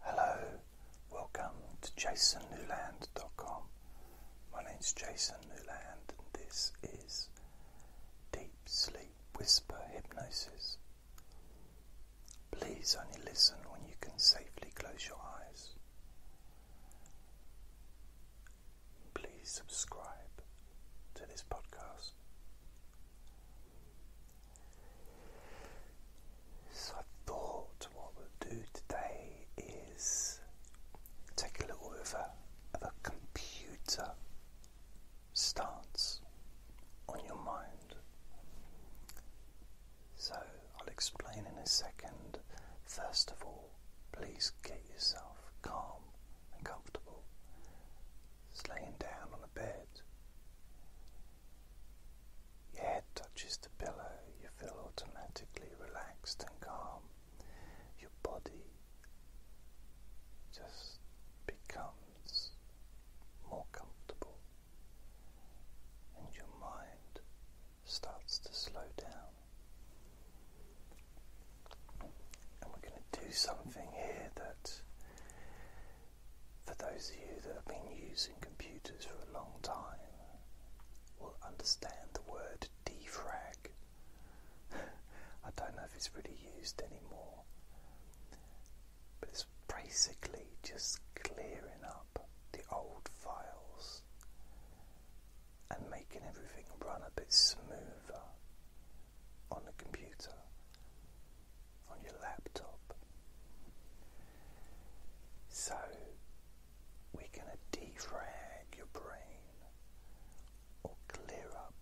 Hello, welcome to jasonnewland.com. My name's Jason Newland, and this is Deep Sleep Whisper Hypnosis. Please only listen when you can safely close your eyes. Please subscribe to this podcast. So I thought what we'll do today is take a little bit of a, a computer starts on your mind. So I'll explain in a second. First of all, please get yourself calm and comfortable. laying down on a bed. Your head touches the pillow, you feel automatically relaxed and calm. Your body just becomes more comfortable, and your mind starts to slow down. And we're going to do something here that for those of you that have been using computers for a long time, will understand the word defrag. I don't know if it's really used anymore, but it's basically just clearing up the old files and making everything run a bit smoother on the computer on your laptop. So we're going to defrag your brain or clear up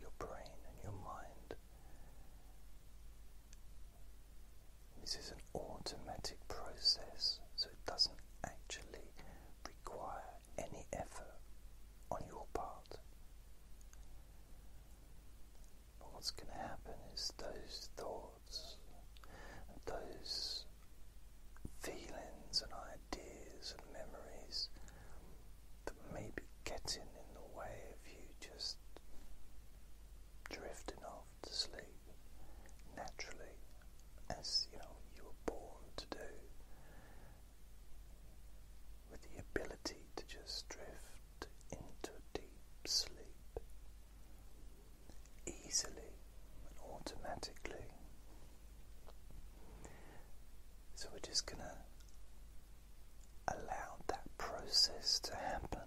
your brain and your mind. This is an automatic process, so it doesn't actually require any effort on your part what's going to happen is those thoughts those feelings and ideas and memories that may be getting in the way of you just drifting off to sleep naturally, as you know you were born to do, with the ability to just drift into a deep sleep easily and automatically. So we're just going to allow that process to happen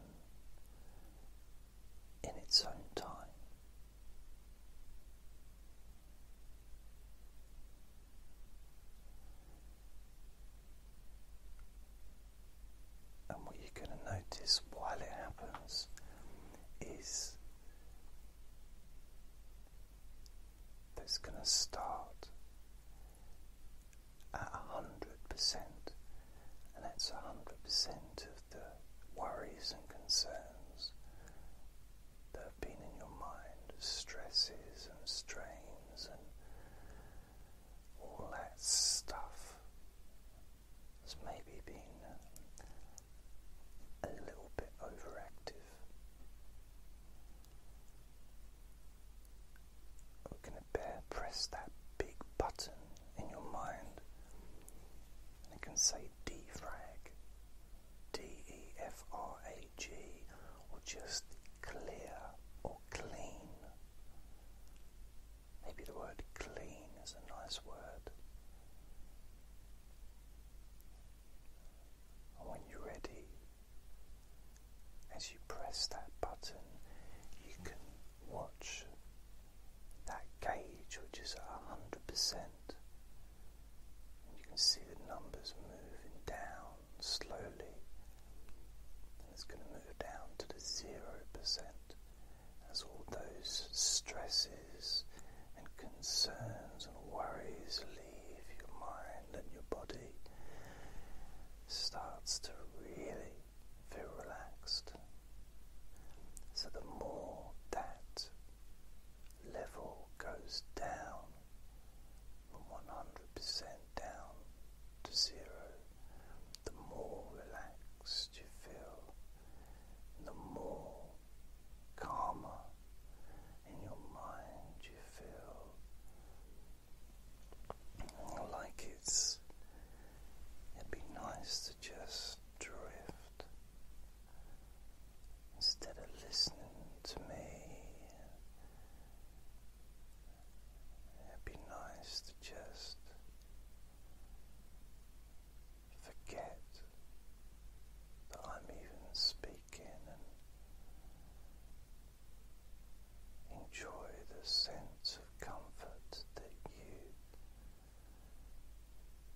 in its own time. And what you're going to notice while it happens is that it's going to start at 100%, and that's 100% of the worries and concerns that have been in your mind, stresses and strains and all that stuff has maybe been uh, a little bit overactive. We're going to press that big button in your mind and it can say defrag, D E F R A G, or just clear or clean. Maybe the word clean is a nice word. And when you're ready, as you press that button, you can watch that gauge, which is at 100%. you can see the numbers moving down slowly. it's going to move down to the 0% as all those stresses and concerns and worries leave your mind and your body starts to really feel relaxed. So the more that level goes down from 100% down to zero, the more relaxed you feel, the more calmer in your mind you feel. Like it's, it'd be nice to just drift instead of listening to me It'd be nice to just forget that I'm even speaking and enjoy the sense of comfort that you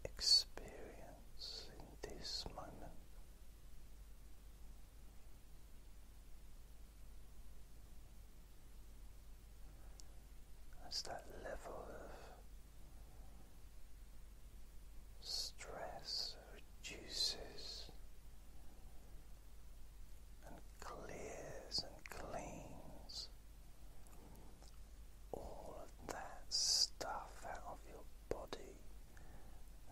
experience in this moment. That's that level of stress reduces and clears and cleans all of that stuff out of your body,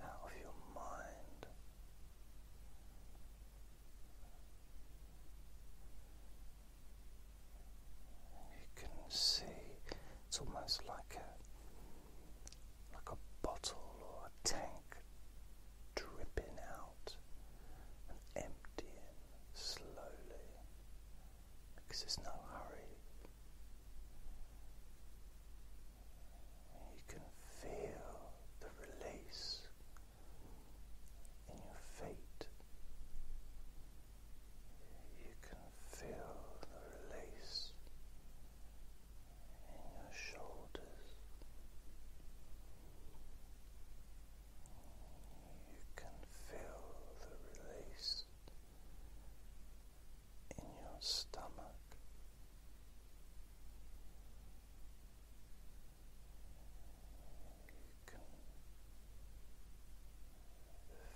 out of your mind. You can see it's almost like a like a bottle or a tank dripping out and emptying slowly because there's no hurry. You can feel the release in your feet. You can feel the release in your shoulders. You can feel the release in your stomach. You can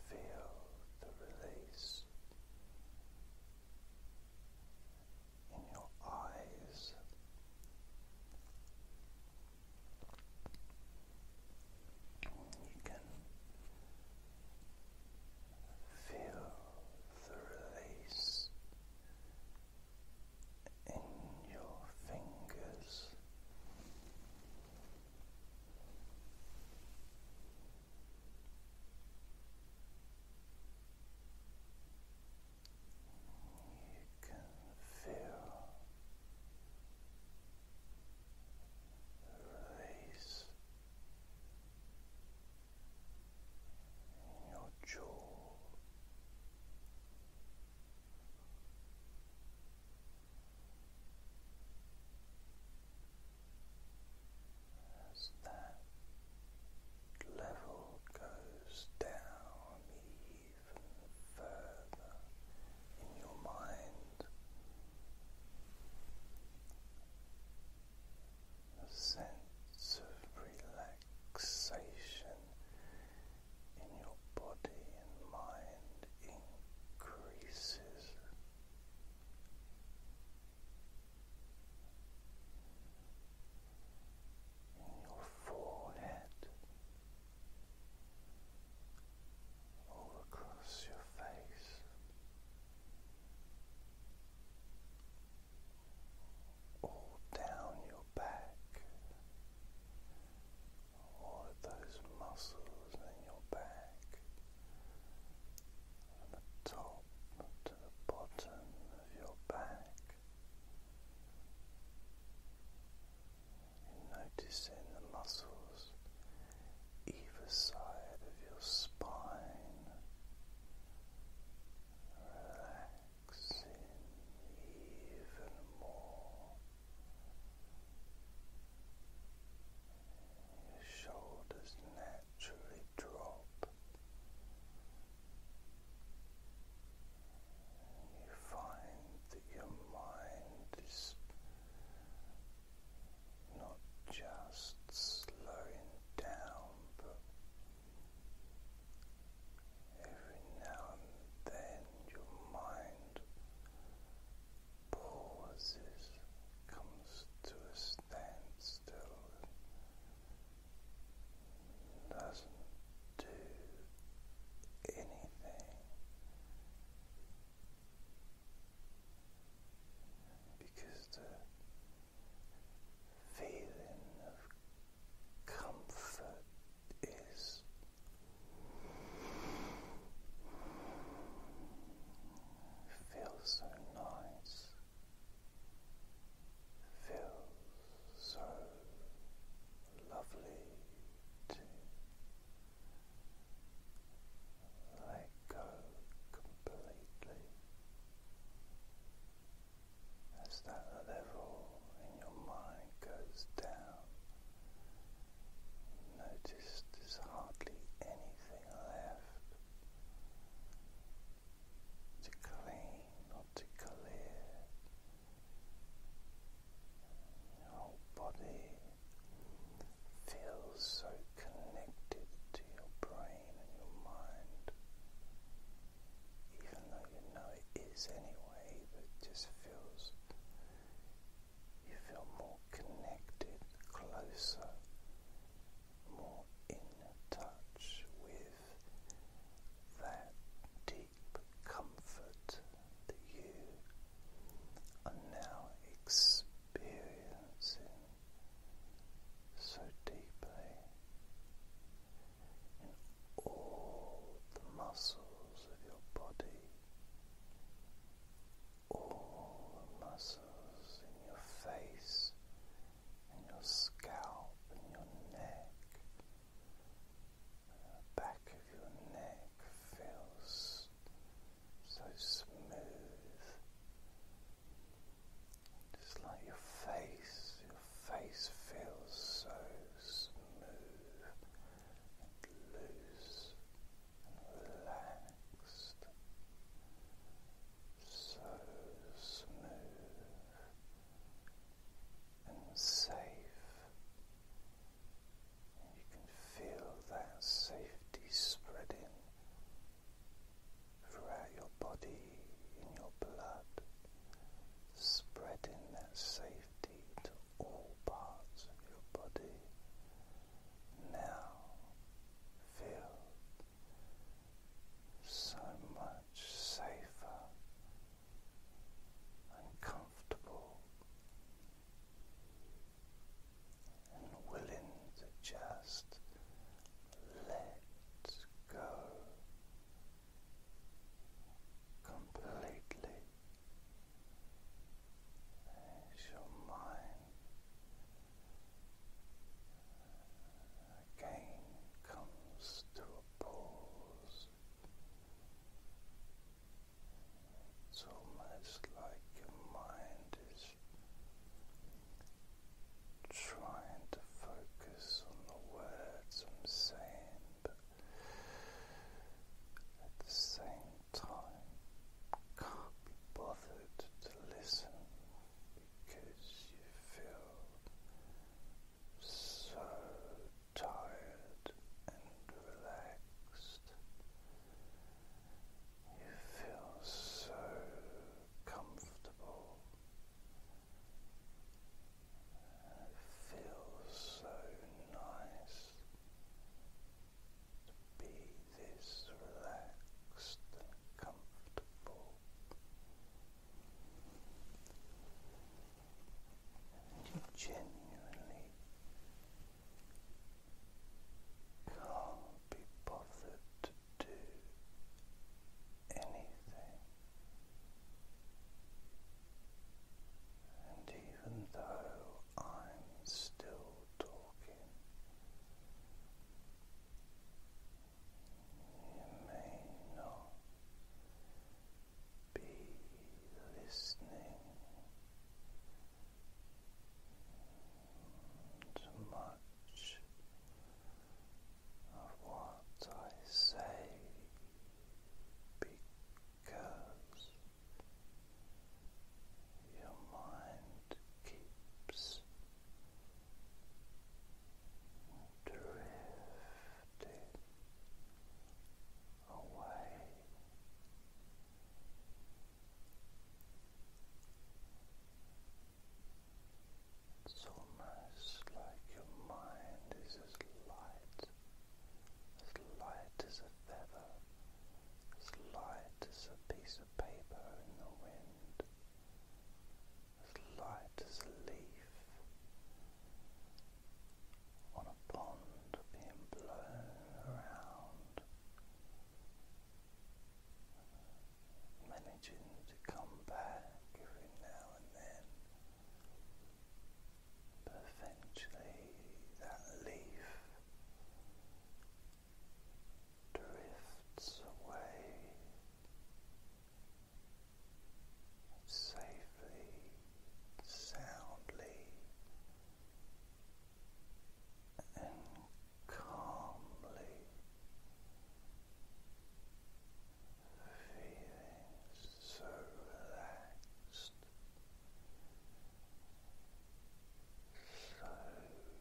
feel the release in your eyes. You can feel the release in your fingers. You can feel release in your jaw. As that level goes down even further in your mind, a sense of relaxation in your body and mind increases. In your forehead, all across your face, all down your back, all of those muscles in your back from the top to the bottom of your back. noticing the muscles either side of your spine relax even more your shoulders naturally drop you find that your mind is not just slowing down but Every now and then your mind pauses, comes to a standstill, doesn't do anything because the feeling of comfort is. Feels so nice. Feels so lovely to let go completely as that level in your mind goes down. Notice there's hardly anything left to clean or to clear. Your whole body feels so connected to your brain and your mind even though you know it is anyway, but just feels you feel more connected, closer, more in touch with that deep comfort that you are now experiencing so deeply in all the muscles of your body, all muscles in your face, and your scalp, and your neck. The back of your neck feels so smooth. Just like your face, your face feels so smooth and loose and relaxed. So smooth and safe. And you can feel that safety spreading throughout your body, in your blood, spreading that safety to all parts of your body now feel so much safer and comfortable and willing to just let go completely as your mind again comes to a pause. It's almost like your mind is trying to focus on the words I'm saying, but at the same time, can't be bothered to listen because you feel so tired and relaxed. You feel so comfortable feels so nice to be this relaxed comfortable. And you genuinely can't be bothered to do anything and even though I'm still talking, you may not be listening to much of what I say because your mind keeps drifting away. It's almost like your mind is as light as light as a feather, as light as a piece of paper in the wind, as light as a leaf on a pond being blown around, managing to come back every now and then. But eventually that leaf drifts away safely, soundly, and calmly feeling so relaxed, so deeply calm and loose.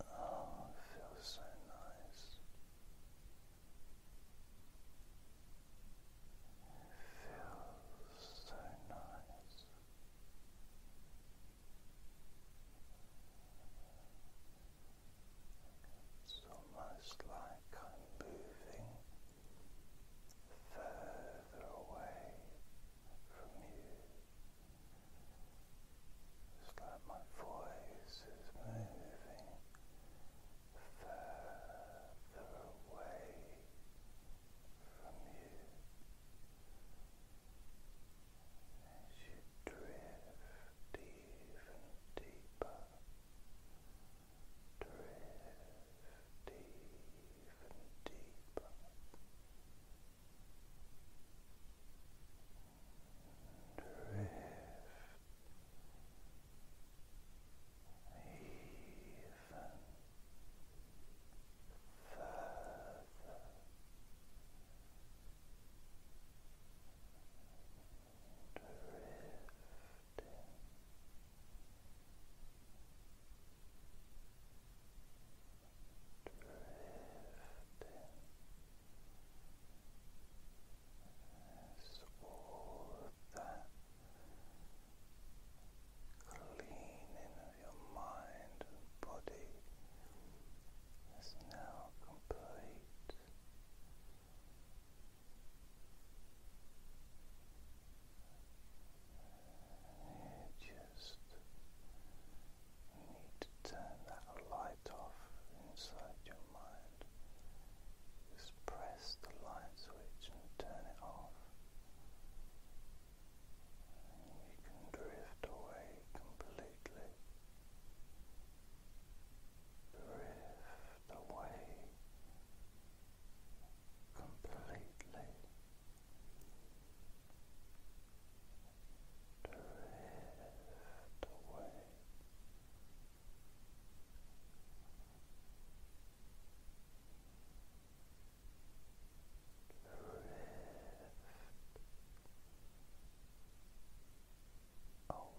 Oh, feels so nice. feels so nice. It's almost like I'm moving further away from you. It's like my voice is moving further away from you as you drift even deeper, drift even deeper drift even further drifting Drifting, as all that cleaning of your mind and body is now complete. You just need to turn that light off inside your just press the light switch and turn it off. you can drift away completely. Drift away completely. Drift away drift away. Drift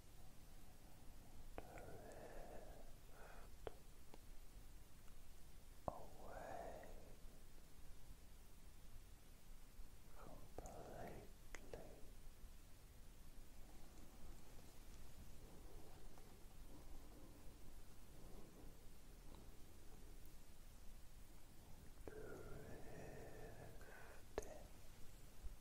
away completely. Drifting